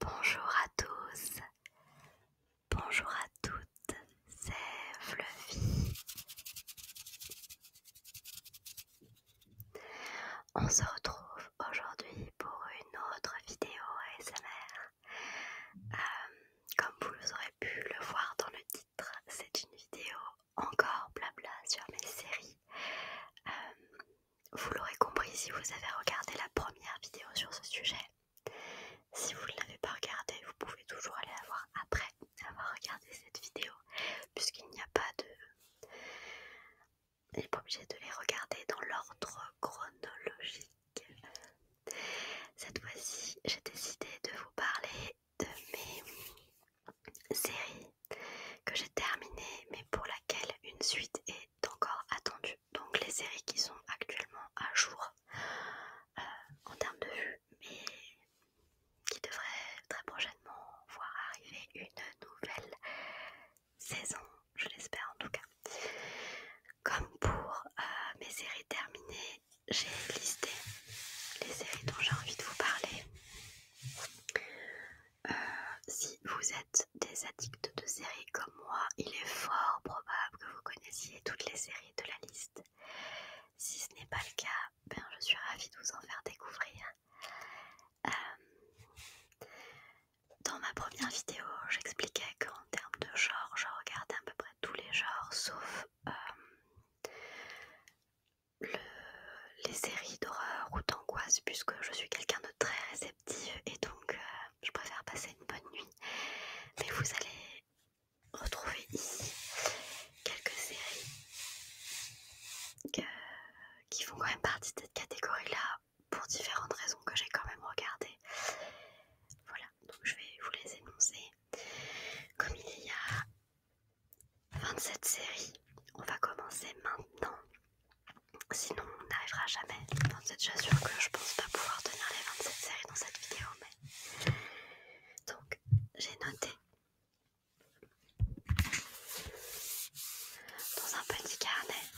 Bonjour à tous, bonjour à toutes, c'est Fluffy. On se retrouve aujourd'hui pour une autre vidéo ASMR. Euh, comme vous aurez pu le voir dans le titre, c'est une vidéo encore blabla sur mes séries. Euh, vous l'aurez compris si vous avez regardé la première vidéo sur ce sujet. Si vous ne l'avez pas regardé, vous pouvez toujours aller la voir après avoir regardé cette vidéo, puisqu'il n'y a pas de... Il n'est pas obligé de les regarder dans l'ordre chronologique. Cette fois-ci, j'ai décidé de vous parler de mes séries que j'ai terminées, mais pour laquelle une suite est encore attendu. Donc les séries qui sont actuellement à jour euh, en termes de vues, mais qui devraient très prochainement voir arriver une nouvelle saison, je l'espère en tout cas. Comme pour euh, mes séries terminées, j'ai listé les séries dont j'ai envie de vous parler. Euh, si vous êtes des addicts de séries comme moi, il est fort probable que vous connaissiez toutes les séries de la liste. Si ce n'est pas le cas, ben, je suis ravie de vous en faire découvrir. Euh, dans ma première vidéo, j'expliquais qu'en termes de genre, je regardais à peu près tous les genres sauf euh, les séries d'horreur ou d'angoisse, puisque je suis quelqu'un de très réceptif et donc euh, je préfère passer une bonne nuit. Mais vous allez retrouver ici quelques séries qui font quand même partie de cette catégorie-là pour différentes raisons que j'ai quand même regardées. Voilà, donc je vais vous les énoncer. Comme il y a 27 séries, on va commencer maintenant Sinon, on n'arrivera jamais. dans cette déjà sûr que je pense pas pouvoir tenir les 27 séries dans cette vidéo, mais. Donc, j'ai noté dans un petit carnet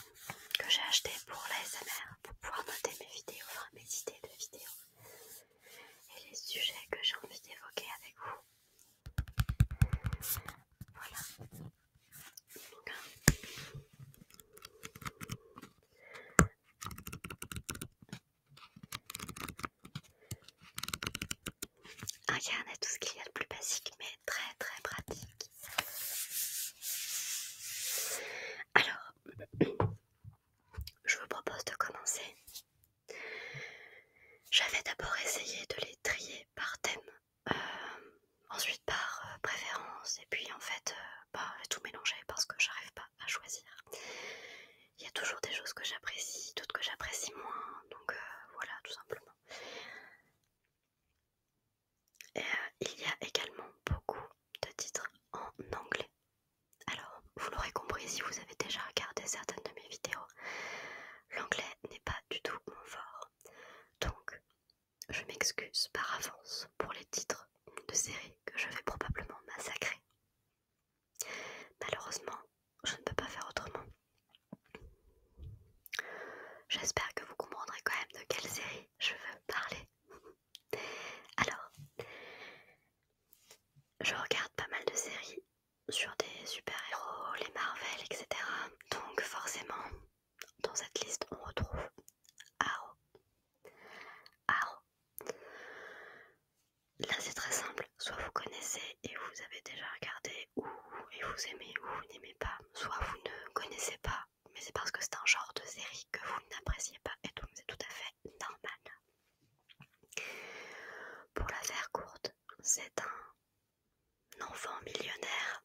que j'ai acheté pour l'ASMR pour pouvoir noter mes vidéos, enfin mes idées de vidéos et les sujets que j'ai envie d'évoquer avec vous. Voilà. Un ah, carnet, tout ce qu'il y a de plus basique, mais très très pratique. Alors, je vous propose de commencer. J'avais d'abord essayé de les trier par thème. Euh, ensuite par euh, préférence, et puis en fait, pas euh, bah, tout mélanger parce que j'arrive pas à choisir. Il y a toujours des choses que j'apprécie, d'autres que j'apprécie moins, donc voilà, tout simplement. Et, il y a également beaucoup de titres en anglais. Alors, vous l'aurez compris si vous avez déjà regardé certaines de mes vidéos, l'anglais n'est pas du tout mon fort. Donc, je m'excuse par avance pour les titres de séries que je vais probablement massacrer. Malheureusement, je ne peux pas faire autrement. J'espère que vous comprendrez quand même de quelle série je veux parler. Alors, je regarde pas mal de séries sur des super-héros, les Marvel, etc. Donc forcément, dans cette liste, on retrouve Aro. Aro. Là, c'est très simple. Soit vous connaissez et vous avez déjà regardé, ou et vous aimez ou vous n'aimez pas. Soit vous ne connaissez pas, mais c'est parce que c'est un genre de série que vous n'appréciez pas, et donc c'est tout à fait normal. Pour la faire courte, c'est un enfant millionnaire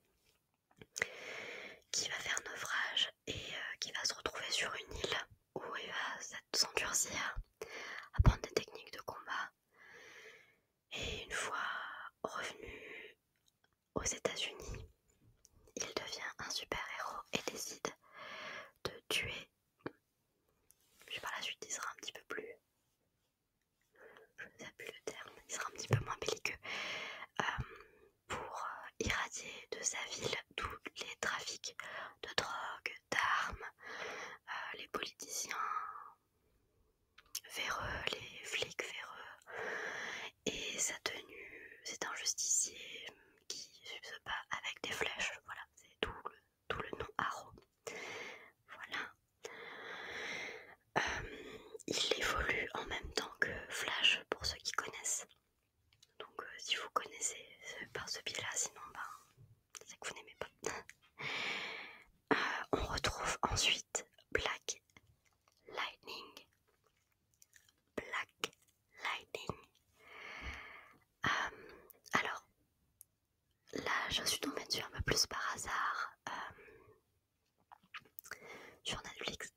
qui va faire naufrage et euh, qui va se retrouver sur une île où il va s'endurcir, apprendre des techniques de combat. Et une fois revenu aux États-Unis, il devient un super-héros et décide de tuer. Puis par la suite, il sera un petit peu plus je le terme, il sera un petit peu moins belliqueux, euh, pour euh, irradier de sa ville tous les trafics de drogue, d'armes, euh, les politiciens véreux, les flics véreux, et sa tenue, c'est un justicier qui se bat avec des flèches, voilà, c'est tout le, nom Aro. Voilà. Euh, il évolue en même temps que Flash pour ceux qui connaissent. Donc euh, si vous connaissez par ce biais-là, sinon ben, c'est que vous n'aimez pas. Euh, on retrouve ensuite Black Lightning. Black Lightning. alors, là, je suis tombée dessus un peu plus par hasard sur Netflix.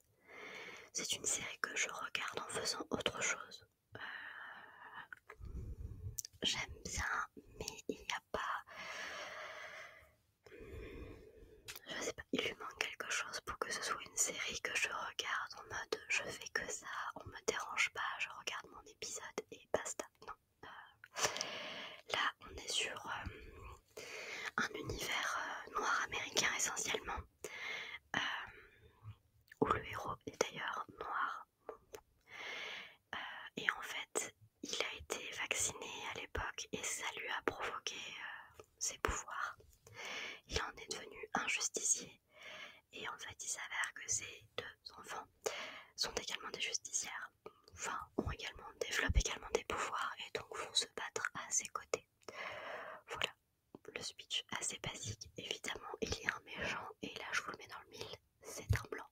C'est une série que je regarde en faisant autre chose. Euh, j'aime bien, mais il n'y a pas. Je sais pas, il lui manque quelque chose pour que ce soit une série que je regarde en mode je fais que ça, on me dérange pas, je regarde mon épisode et basta. Non. Euh, là, on est sur euh, un univers euh, noir américain essentiellement, euh, où le héros est d'ailleurs noir. Euh, et en fait, il a été vacciné à l'époque et ça lui a provoqué ses pouvoirs. Il en est devenu un justicier et en fait, il s'avère que ses deux enfants sont également des justicières ont également, développent également des pouvoirs et donc vont se battre à ses côtés. Voilà le speech assez basique. Évidemment, il y a un méchant et là je vous le mets dans le mille, c'est un blanc.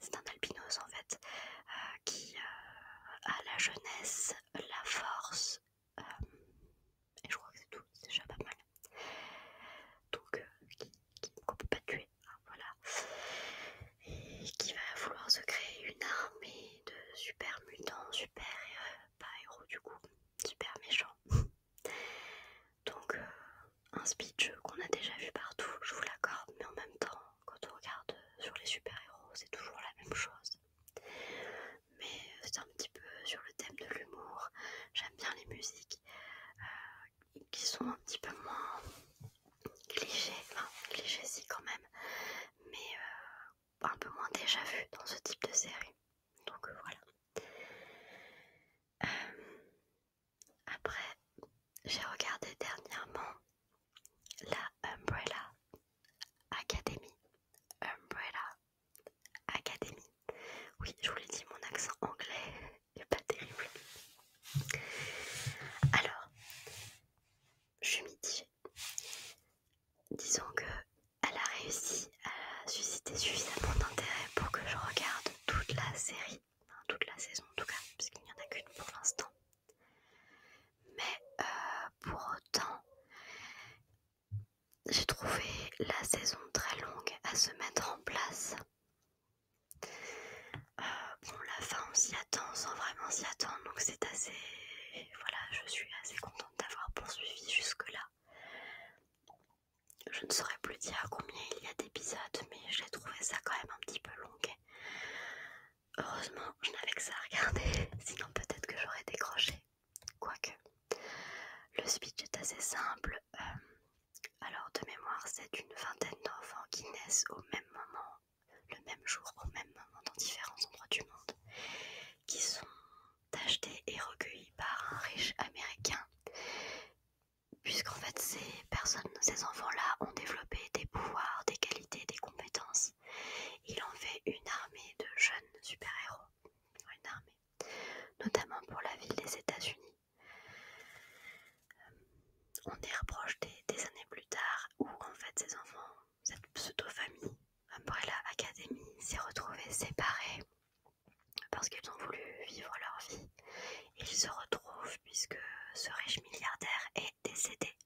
C'est un albinos en fait euh, qui euh, a la jeunesse, la force euh, et je crois que c'est tout, c'est déjà pas mal. Donc qui, peut pas tuer, hein, voilà. Et qui va vouloir se créer une armée de super mutants, super euh, pas héros du coup, super méchants. Donc euh, un speech qu'on a déjà vu partout, je vous l'accorde, mais en même temps, quand on regarde sur les super-héros, c'est toujours la même chose. Mais euh, c'est un petit peu sur le thème de l'humour, j'aime bien les musiques qui sont un petit peu moins cliché, enfin cliché si quand même, mais euh, un peu moins déjà vu dans ce type de série. Donc euh, voilà. Euh, après, j'ai regardé dernièrement la Umbrella Academy. Umbrella Academy. Oui, je vous l'ai dit, mon accent anglais n'est pas terrible. Alors, je suis mitigée. Disons que elle a réussi à susciter suffisamment d'intérêt pour que je regarde toute la série, toute la saison en tout cas, puisqu'il n'y en a qu'une pour l'instant. Mais euh, pour autant, j'ai trouvé la saison très longue à se mettre en place. Euh, bon, la fin, on s'y attend sans vraiment s'y attendre, donc c'est assez voilà, je suis assez contente d'avoir poursuivi jusque-là. Je ne saurais plus dire combien il y a d'épisodes, mais j'ai trouvé ça quand même un petit peu long. Heureusement, je n'avais que ça à regarder, sinon peut-être que j'aurais décroché. Quoique, le speech est assez simple. Euh, alors, de mémoire, c'est une vingtaine d'enfants qui naissent au même moment le même jour, au même moment, dans différents endroits du monde, qui sont achetés et recueillis par un riche américain. Puisqu'en fait, ces personnes, ces enfants-là ont développé des pouvoirs, des qualités, des compétences. Il en fait une armée de jeunes super-héros. Une armée. Notamment pour la ville des États-Unis. Euh, on y reproche des années plus tard où en fait ces enfants cette pseudo-famille Umbrella Academy s'est retrouvée séparée parce qu'ils ont voulu vivre leur vie. Ils se retrouvent puisque ce riche milliardaire est décédé.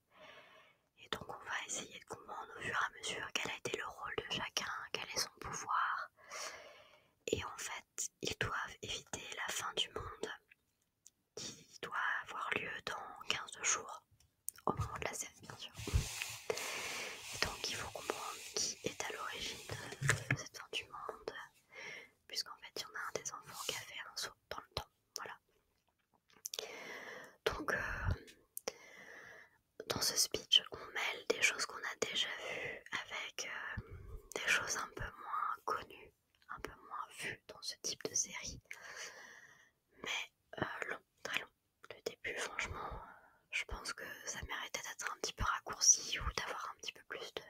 Et donc on va essayer de comprendre au fur et à mesure quel a été le rôle de chacun, quel est son pouvoir. Et en fait, ils doivent éviter la fin du monde qui doit avoir lieu dans 15 jours au moment de la série bien sûr donc il faut comprendre qui est à l'origine de cette fin du monde puisqu'en fait il y en a un des enfants qui a fait un saut dans le temps voilà donc euh, dans ce speech on mêle des choses qu'on a déjà vues avec euh, des choses un peu moins connues un peu moins vues dans ce type de série mais euh, long, très long. Le début, franchement, euh, je pense que ça méritait d'être un petit peu raccourci ou d'avoir un petit peu plus de,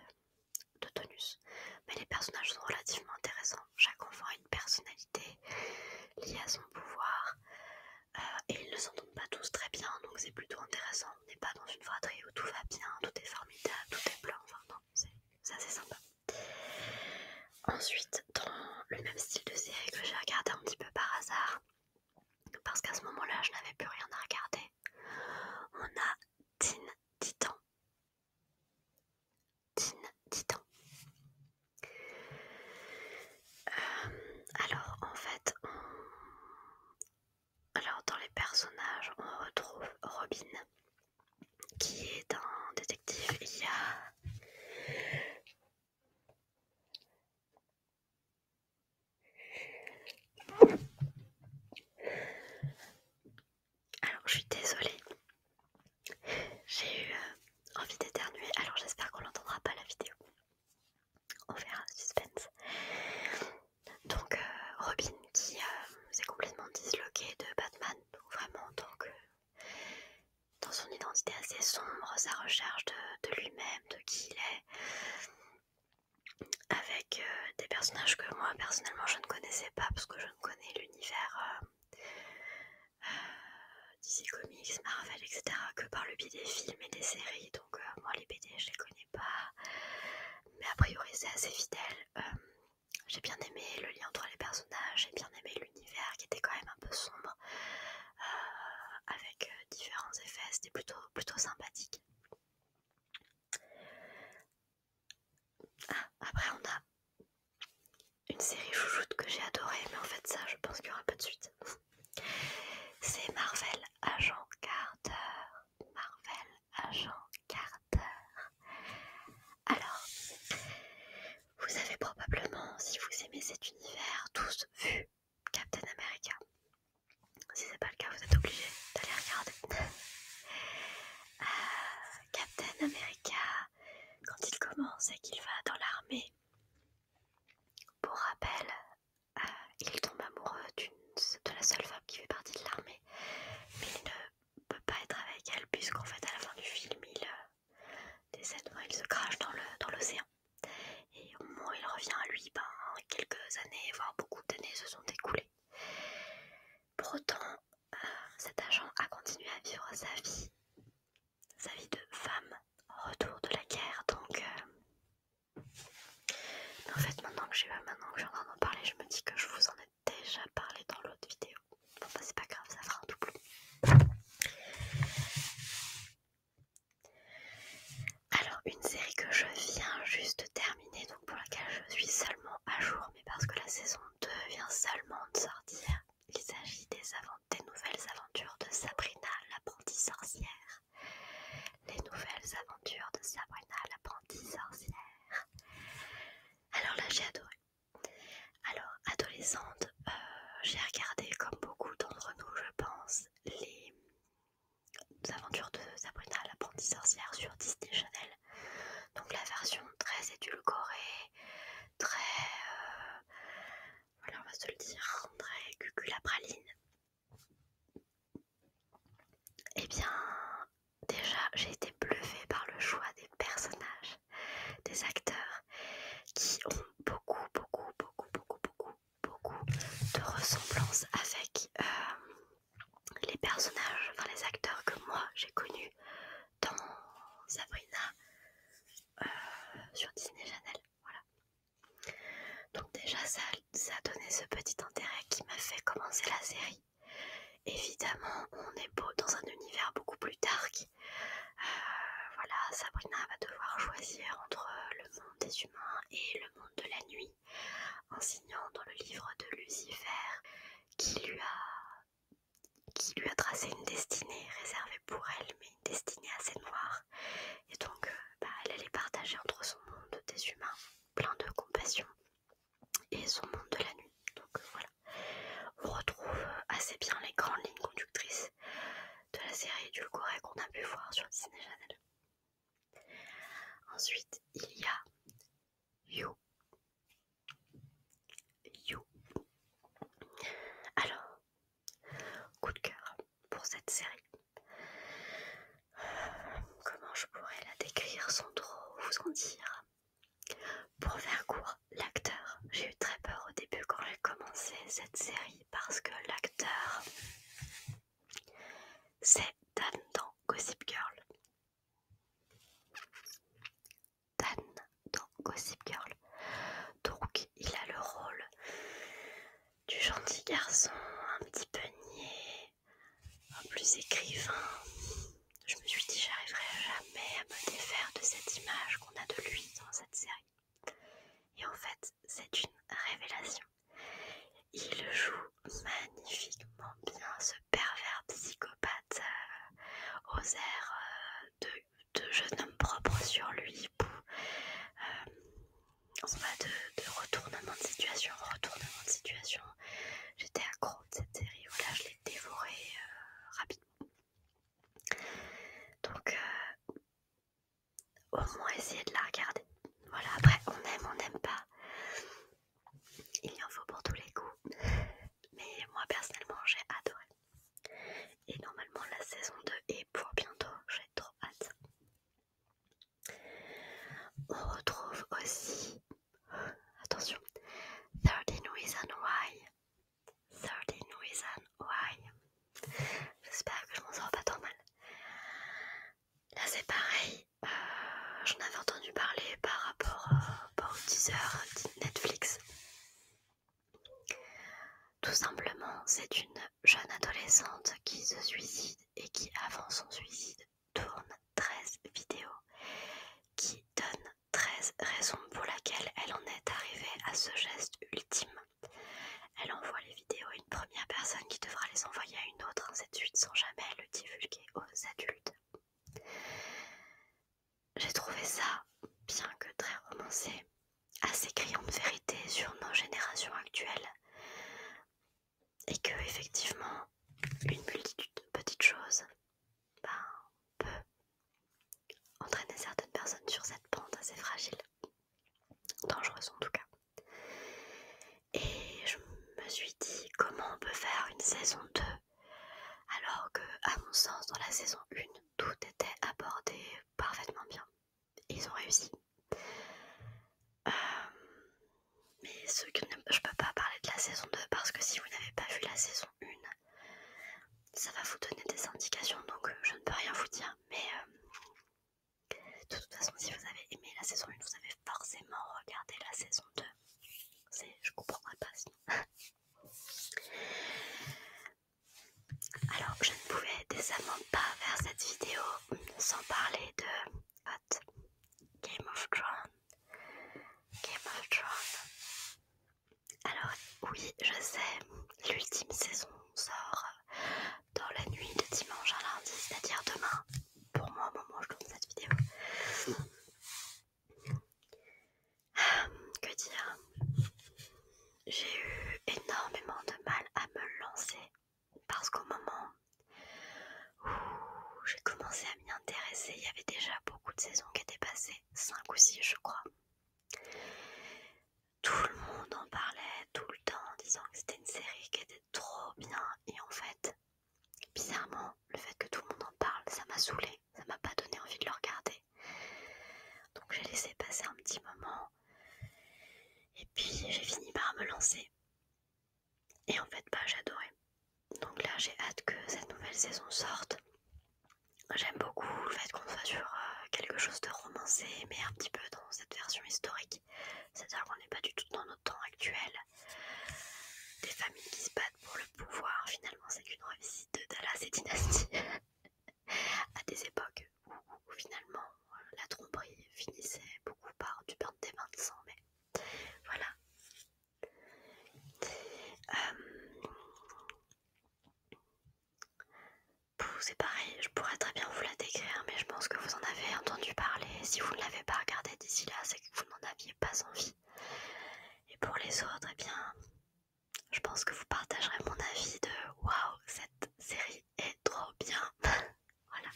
tonus. Mais les personnages sont relativement intéressants. Chaque enfant a une personnalité liée à son pouvoir. Euh, et ils ne s'entendent pas tous très bien, donc c'est plutôt intéressant. On n'est pas dans une fratrie où tout va bien, tout est formidable, tout est blanc. Enfin, non, c'est assez sympa. Ensuite, dans le même style de série que j'ai regardé un petit peu par hasard, parce qu'à ce moment-là, je n'avais plus rien à regarder, on a Teen Titan. Teen Titan. Euh, alors, en fait, alors dans les personnages, on retrouve Robin, qui est un détective. Il y a alors je suis désolée, j'ai eu euh, envie d'éternuer, alors j'espère qu'on l'entendra pas la vidéo. On verra, suspense. Donc euh, Robin qui euh, s'est complètement disloqué de Batman, donc vraiment en tant que dans son identité assez sombre, sa recherche de, lui-même, de qui il est, avec euh, des personnages que moi personnellement je ne connaissais pas parce que je ne connais l'univers euh, euh, DC Comics, Marvel, etc. que par le biais des films et des séries. Donc moi les BD je les connais pas, mais a priori c'est assez fidèle. j'ai bien aimé le lien entre les personnages, j'ai bien aimé l'univers qui était quand même un peu sombre, euh, avec euh, différents effets, c'était plutôt, plutôt sympathique. Ah, après on a une série chouchoute que j'ai adorée, mais en fait ça je pense qu'il y aura pas de suite. C'est Marvel Agent Carter. Marvel Agent Carter. Alors, vous avez probablement, si vous aimez cet univers, tous vu Captain America. Si c'est pas le cas, vous êtes obligé d'aller regarder. Euh, Captain America, quand il commence et qu'il va dans l'armée, pour rappel, euh, il tombe amoureux de la seule femme qui fait partie de l'armée, mais il ne peut pas être avec elle puisqu'en fait à la fin du film il, euh, cette mois, il se crache dans l'océan. et au moment où il revient à lui, ben, quelques années, voire beaucoup d'années se sont écoulées. Pour autant, euh, cet agent a continué à vivre sa vie, sa vie de femme, retour de la guerre. Donc, euh, en fait, maintenant que, maintenant que je suis en d'en parler, je me dis que je vous en ai déjà parlé dans l'autre vidéo bah c'est pas grave, ça fera un double. Alors une série que je viens juste de terminer, donc pour laquelle je suis seulement à jour, mais parce que la saison 2 vient seulement de sortir. Il s'agit des, des nouvelles aventures de Sabrina l'apprentie sorcière. Les nouvelles aventures de Sabrina l'apprentie sorcière. Alors là j'ai adoré. Alors, adolescente, euh, j'ai regardé, comme beaucoup d'entre nous, je pense, les aventures de Sabrina, l'apprentie sorcière sur Disney Channel. Donc la version très édulcorée, très... Euh, voilà, on va se le dire, très cuculapraline. Eh bien, déjà, j'ai été bluffée par le choix des personnages des acteurs qui ont beaucoup, beaucoup, beaucoup, beaucoup, beaucoup, beaucoup de ressemblances avec euh, les personnages, enfin les acteurs que moi j'ai connus dans Sabrina euh, sur Disney Channel. Donc déjà ça, ça a donné ce petit intérêt qui m'a fait commencer la série. Évidemment, on est beau dans un univers beaucoup plus dark euh, voilà, Sabrina va devoir choisir entre euh, le monde des humains et le monde de la nuit, en signant dans le livre de Lucifer qui lui a, qui lui a tracé une destinée réservée pour elle, mais une destinée assez noire. Et donc, euh, bah, elle allait partager entre son monde des humains, plein de compassion, et son monde de la nuit. Donc voilà on retrouve assez bien les grandes lignes conductrices de la série du Edulcorée qu'on a pu voir sur Disney Channel. Ensuite, il y a You. You. Alors, coup de cœur pour cette série. comment je pourrais la décrire sans trop vous en dire Pour faire court, l'acteur, j'ai eu très peur au début quand j'ai commencé cette série parce que l'acteur, c'est Dan dans Gossip Girl. Dan dans Gossip Girl. Donc, il a le rôle du gentil garçon, un petit peu niais, plus écrivain. Je me suis dit, j'arriverai jamais à me défaire de cette image on a de lui dans cette série. Et en fait, c'est une révélation. Il joue magnifiquement bien ce pervers psychopathe euh, aux airs euh, de, jeune homme propre sur lui, pour, euh, de, de retournement de situation, retournement de situation. J'étais accro de cette série, voilà, je l'ai dévorée rapidement. Donc, euh, au moins essayer de la regarder. Voilà, après, on aime, on n'aime pas. Il y en faut pour tous les goûts. Mais moi, personnellement, j'ai adoré. Et normalement, la saison 2 est pour bientôt. J'ai trop hâte. On retrouve aussi, attention, 13 Reasons Why 13 Reasons Why. J'espère que je m'en sors pas trop mal. Là, c'est pareil. Euh, j'en avais entendu parler par rapport, euh, par au teaser Netflix. Tout simplement, c'est une jeune adolescente qui se suicide et qui, avant son suicide, tourne 13 vidéos qui donnent 13 raisons pour laquelle elle en est arrivée à ce geste ultime. Elle envoie les vidéos à une première personne qui devra les envoyer à une autre, cette suite, sans jamais le divulguer aux adultes. J'ai trouvé ça, bien que très romancé, assez criant de vérité sur nos générations actuelles. Et que, effectivement, une multitude de petites choses ben, peu entraîner certaines personnes sur cette pente assez fragile, dangereuse en tout cas. Et je me suis dit comment on peut faire une saison 2 alors que, à mon sens, dans la saison 1, tout était abordé parfaitement bien. Ils ont réussi. Euh, mais ceux qui ne... peux pas parler de la saison 2 parce que si vous n'avez pas vu la saison une, ça va vous donner des indications, donc euh, je ne peux rien vous dire, mais euh, de toute façon, si vous avez aimé la saison 1, vous avez forcément regardé la saison 2. Je comprendrai pas sinon. Alors, je ne pouvais décemment pas faire cette vidéo sans parler de Game of Thrones. Game of Thrones. Alors oui, je sais, l'ultime saison sort dans la nuit de dimanche à lundi, c'est-à-dire demain, pour moi au moment où je tourne cette vidéo. que dire J'ai eu énormément de mal à me lancer parce qu'au moment où j'ai commencé à m'y intéresser, il y avait déjà beaucoup de saisons qui étaient passées, 5 ou 6 je crois tout le monde en parlait tout le temps en disant que c'était une série qui était trop bien et en fait bizarrement le fait que tout le monde en parle ça m'a saoulé ça m'a pas donné envie de le regarder donc j'ai laissé passer un petit moment et puis j'ai fini par me lancer et en fait bah j'adorais donc là j'ai hâte que cette nouvelle saison sorte J'aime beaucoup le fait qu'on soit sur euh, quelque chose de romancé, mais un petit peu dans cette version historique. C'est-à-dire qu'on n'est pas du tout dans notre temps actuel. Des familles qui se battent pour le pouvoir, finalement, c'est une revisite de Dallas et Dynastie. à des époques où, finalement euh, la tromperie finissait beaucoup par du perdre des mains de sang, mais voilà. Euh, c'est pareil, je pourrais très bien vous la décrire, mais je pense que vous en avez entendu parler. Si vous ne l'avez pas regardé d'ici là, c'est que vous n'en aviez pas envie. Et pour les autres, eh bien, je pense que vous partagerez mon avis de waouh, cette série est trop bien. voilà.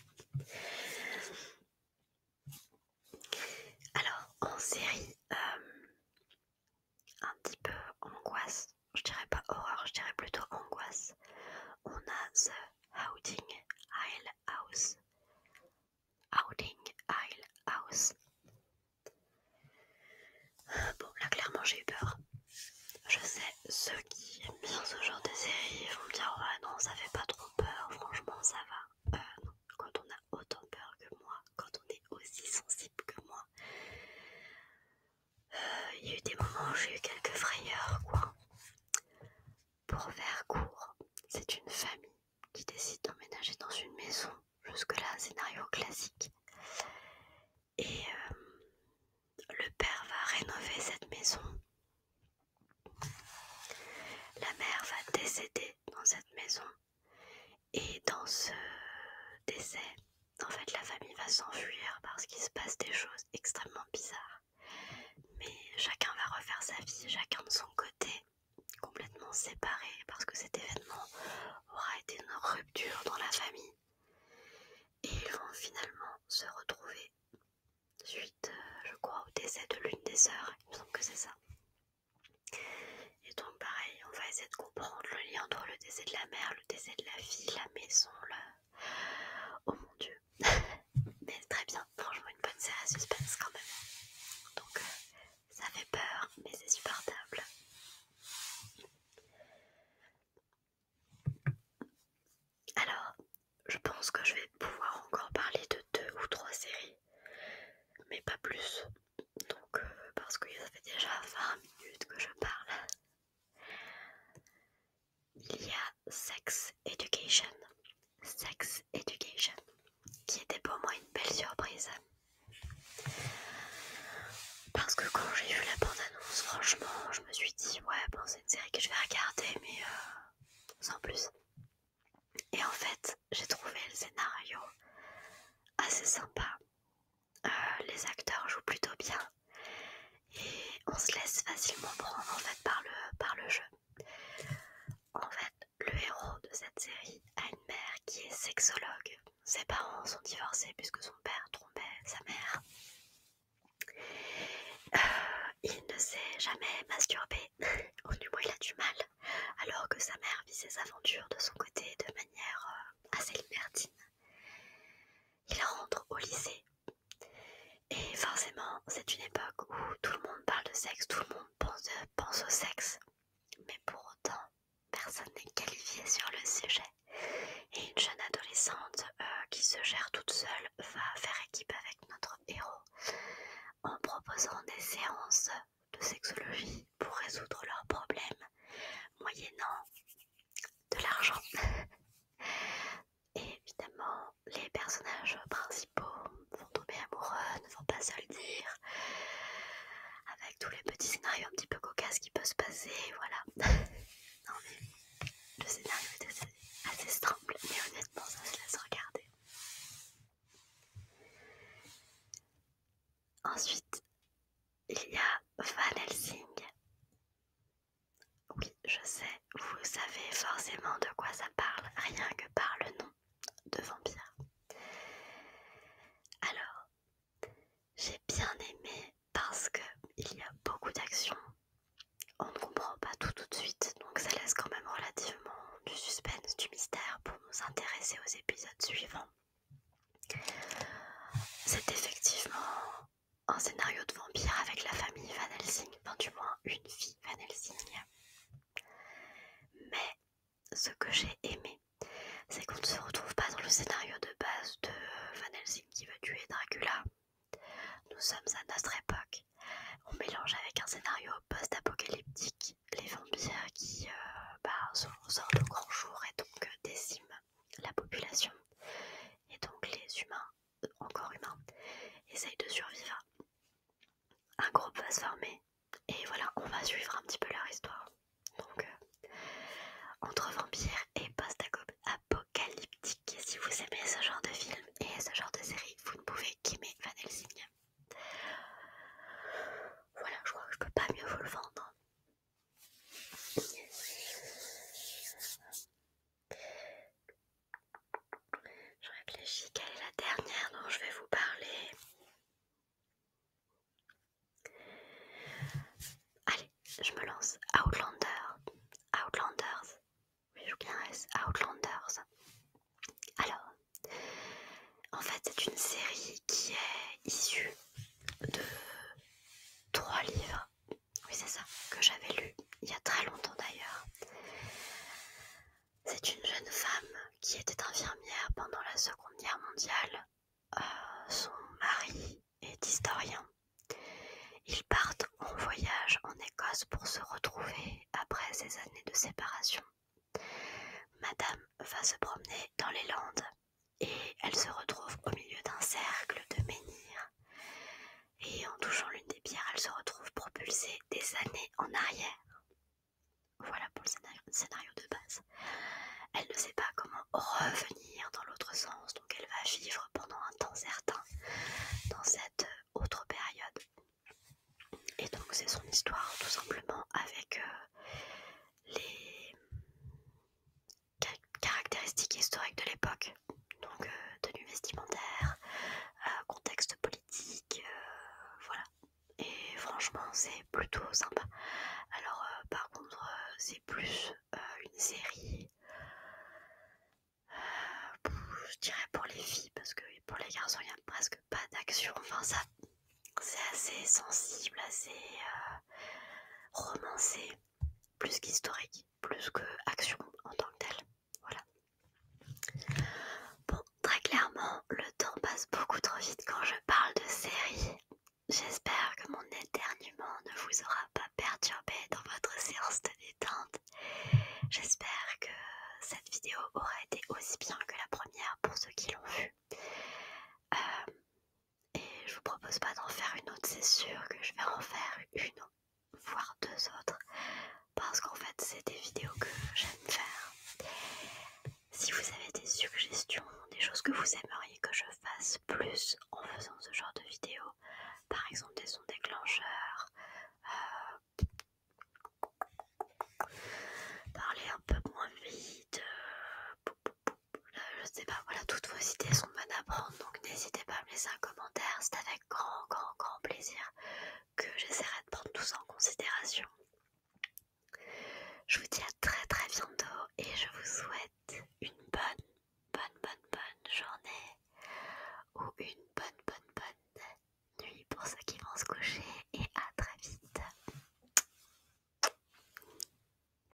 Alors, en série, euh, un petit peu angoisse, je dirais pas horreur, je dirais plutôt angoisse. On a The Outing Isle House. Outing Isle House. bon, là clairement j'ai eu peur. Je sais, ceux qui aiment bien ce genre de série vont me dire Ouais, non, ça fait pas trop peur, franchement ça va. Euh, quand on a autant peur que moi, quand on est aussi sensible que moi, il y a eu des moments où j'ai eu quelques frayeurs, quoi. Pour faire court, c'est une famille qui décide d'emménager dans une maison. Jusque-là, scénario classique. Et euh, le père va rénover cette maison. La mère va décéder dans cette maison. Et dans ce décès, en fait, la famille va s'enfuir parce qu'il se passe des choses extrêmement bizarres. Mais chacun va refaire sa vie, chacun de son côté, complètement séparé, parce que cet événement aura été une rupture dans la famille. Et ils vont finalement se retrouver suite, euh, je crois, au décès de l'une des sœurs. Il me semble que c'est ça. Et donc pareil, on va essayer de comprendre le lien entre le décès de la mère, le décès de la fille, la maison, le... Oh mon dieu. Mais très bien, franchement une bonne série à suspense quand même. Donc euh, ça fait peur, mais c'est supportable. Alors, je pense que je vais pouvoir encore parler de deux ou trois séries, mais pas plus donc euh, parce que ça fait déjà 20 minutes que je parle. Il y a Sex Education. Sex Education, qui était pour moi une belle surprise. Parce que quand j'ai vu la bande-annonce, franchement, je me suis dit, ouais, bon, c'est une série que je vais regarder, mais euh, sans plus. Et en fait, j'ai trouvé le scénario assez sympa, euh, les acteurs jouent plutôt bien et on se laisse facilement prendre en fait par le, jeu. En fait, le héros de cette série a une mère qui est sexologue. Ses parents sont divorcés puisque son père trompait sa mère. Euh, il ne s'est jamais masturbé, au du moins il a du mal, alors que sa mère vit ses aventures de son côté de manière euh, assez libertine. Il rentre au lycée. Et forcément, c'est une époque où tout le monde parle de sexe, tout le monde pense, au sexe. Mais pour autant, personne n'est qualifié sur le sujet. Et une jeune adolescente euh, qui se gère toute seule va faire équipe avec notre héros en proposant des séances de sexologie pour résoudre leurs problèmes moyennant de l'argent. Et évidemment, les personnages principaux vont tomber amoureux, ne vont pas se le dire, avec tous les petits scénarios un petit peu cocasses qui peuvent se passer, voilà. non mais le scénario est assez, strangle, mais honnêtement, ça se laisse regarder. Ensuite, il y a Van Helsing. Oui, je sais, vous savez forcément de quoi ça parle, rien que par le nom de vampire. Alors, j'ai bien aimé parce qu'il y a beaucoup d'actions. On ne comprend pas tout tout de suite, donc ça laisse quand même relativement du suspense, du mystère pour nous intéresser aux épisodes suivants. C'est effectivement un scénario de vampire avec la famille Van Helsing, enfin du moins une fille Van Helsing. Mais ce que j'ai aimé, c'est qu'on ne se retrouve pas dans le scénario de base de Van Helsing qui veut tuer Dracula. Nous sommes à notre époque. On mélange avec un scénario post-apocalyptique les vampires qui euh, bah, sortent au grand jour et donc euh, déciment la population. Et donc les humains, euh, encore humains, essayent de survivre. Un groupe va se former et voilà, on va suivre un petit peu leur histoire. Donc, euh, entre vampires et post-apocalyptique, si vous aimez ce genre de film et ce genre de série, vous ne pouvez qu'aimer Van Helsing. Voilà, je crois que je peux pas mieux vous le vendre. Je réfléchis quelle est la dernière dont je vais vous parler. Allez, je me lance. Outlanders, Outlanders. Oui, je vous S. Outlanders. Alors, en fait, c'est une série qui est issue de trois livres, oui c'est ça, que j'avais lu il y a très longtemps d'ailleurs. C'est une jeune femme qui était infirmière pendant la Seconde Guerre mondiale. Euh, son mari est historien. Ils partent en voyage en Écosse pour se retrouver après ces années de séparation. Madame va se promener dans les Landes et elle se retrouve au milieu d'un cercle de menhirs. Et en touchant l'une des pierres, elle se retrouve propulsée des années en arrière. Voilà pour le scénario, de base. Elle ne sait pas comment revenir dans l'autre sens, donc elle va vivre pendant un temps certain dans cette euh, autre période. Et donc c'est son histoire tout simplement avec euh, les caractéristiques historiques de l'époque, donc euh, tenue vestimentaire, euh, contexte politique, euh, voilà. Et franchement, c'est plutôt sympa. Alors, par contre, c'est plus une série, je dirais pour les filles, parce que pour les garçons, il n'y a presque pas d'action. Enfin, ça, c'est assez sensible, assez romancé plus qu'historique, plus que action en tant que telle. Voilà. Bon, très clairement, le temps passe beaucoup trop vite quand je parle de séries. J'espère que mon éternuement ne vous aura pas perturbé dans votre séance de détente. J'espère que cette vidéo aura été aussi bien que la première pour ceux qui l'ont vue. Euh, et je vous propose pas d'en faire une autre, c'est sûr que je vais en faire une, voire deux autres, parce qu'en fait c'est des vidéos que j'aime faire. Si vous avez des suggestions, des choses que vous aimeriez que je fasse plus en faisant ce genre de vidéos, par exemple des sons déclencheurs, euh, parler un peu moins vite, euh, je sais pas, voilà, toutes vos idées sont bonnes à prendre, donc n'hésitez pas à me laisser un commentaire, c'est avec grand, grand, grand plaisir que j'essaierai de prendre tout ça en considération. Je vous dis à très très bientôt et je vous souhaite une bonne, bonne, bonne, bonne journée ou une bonne, bonne, bonne nuit pour ceux qui vont se coucher et à très vite.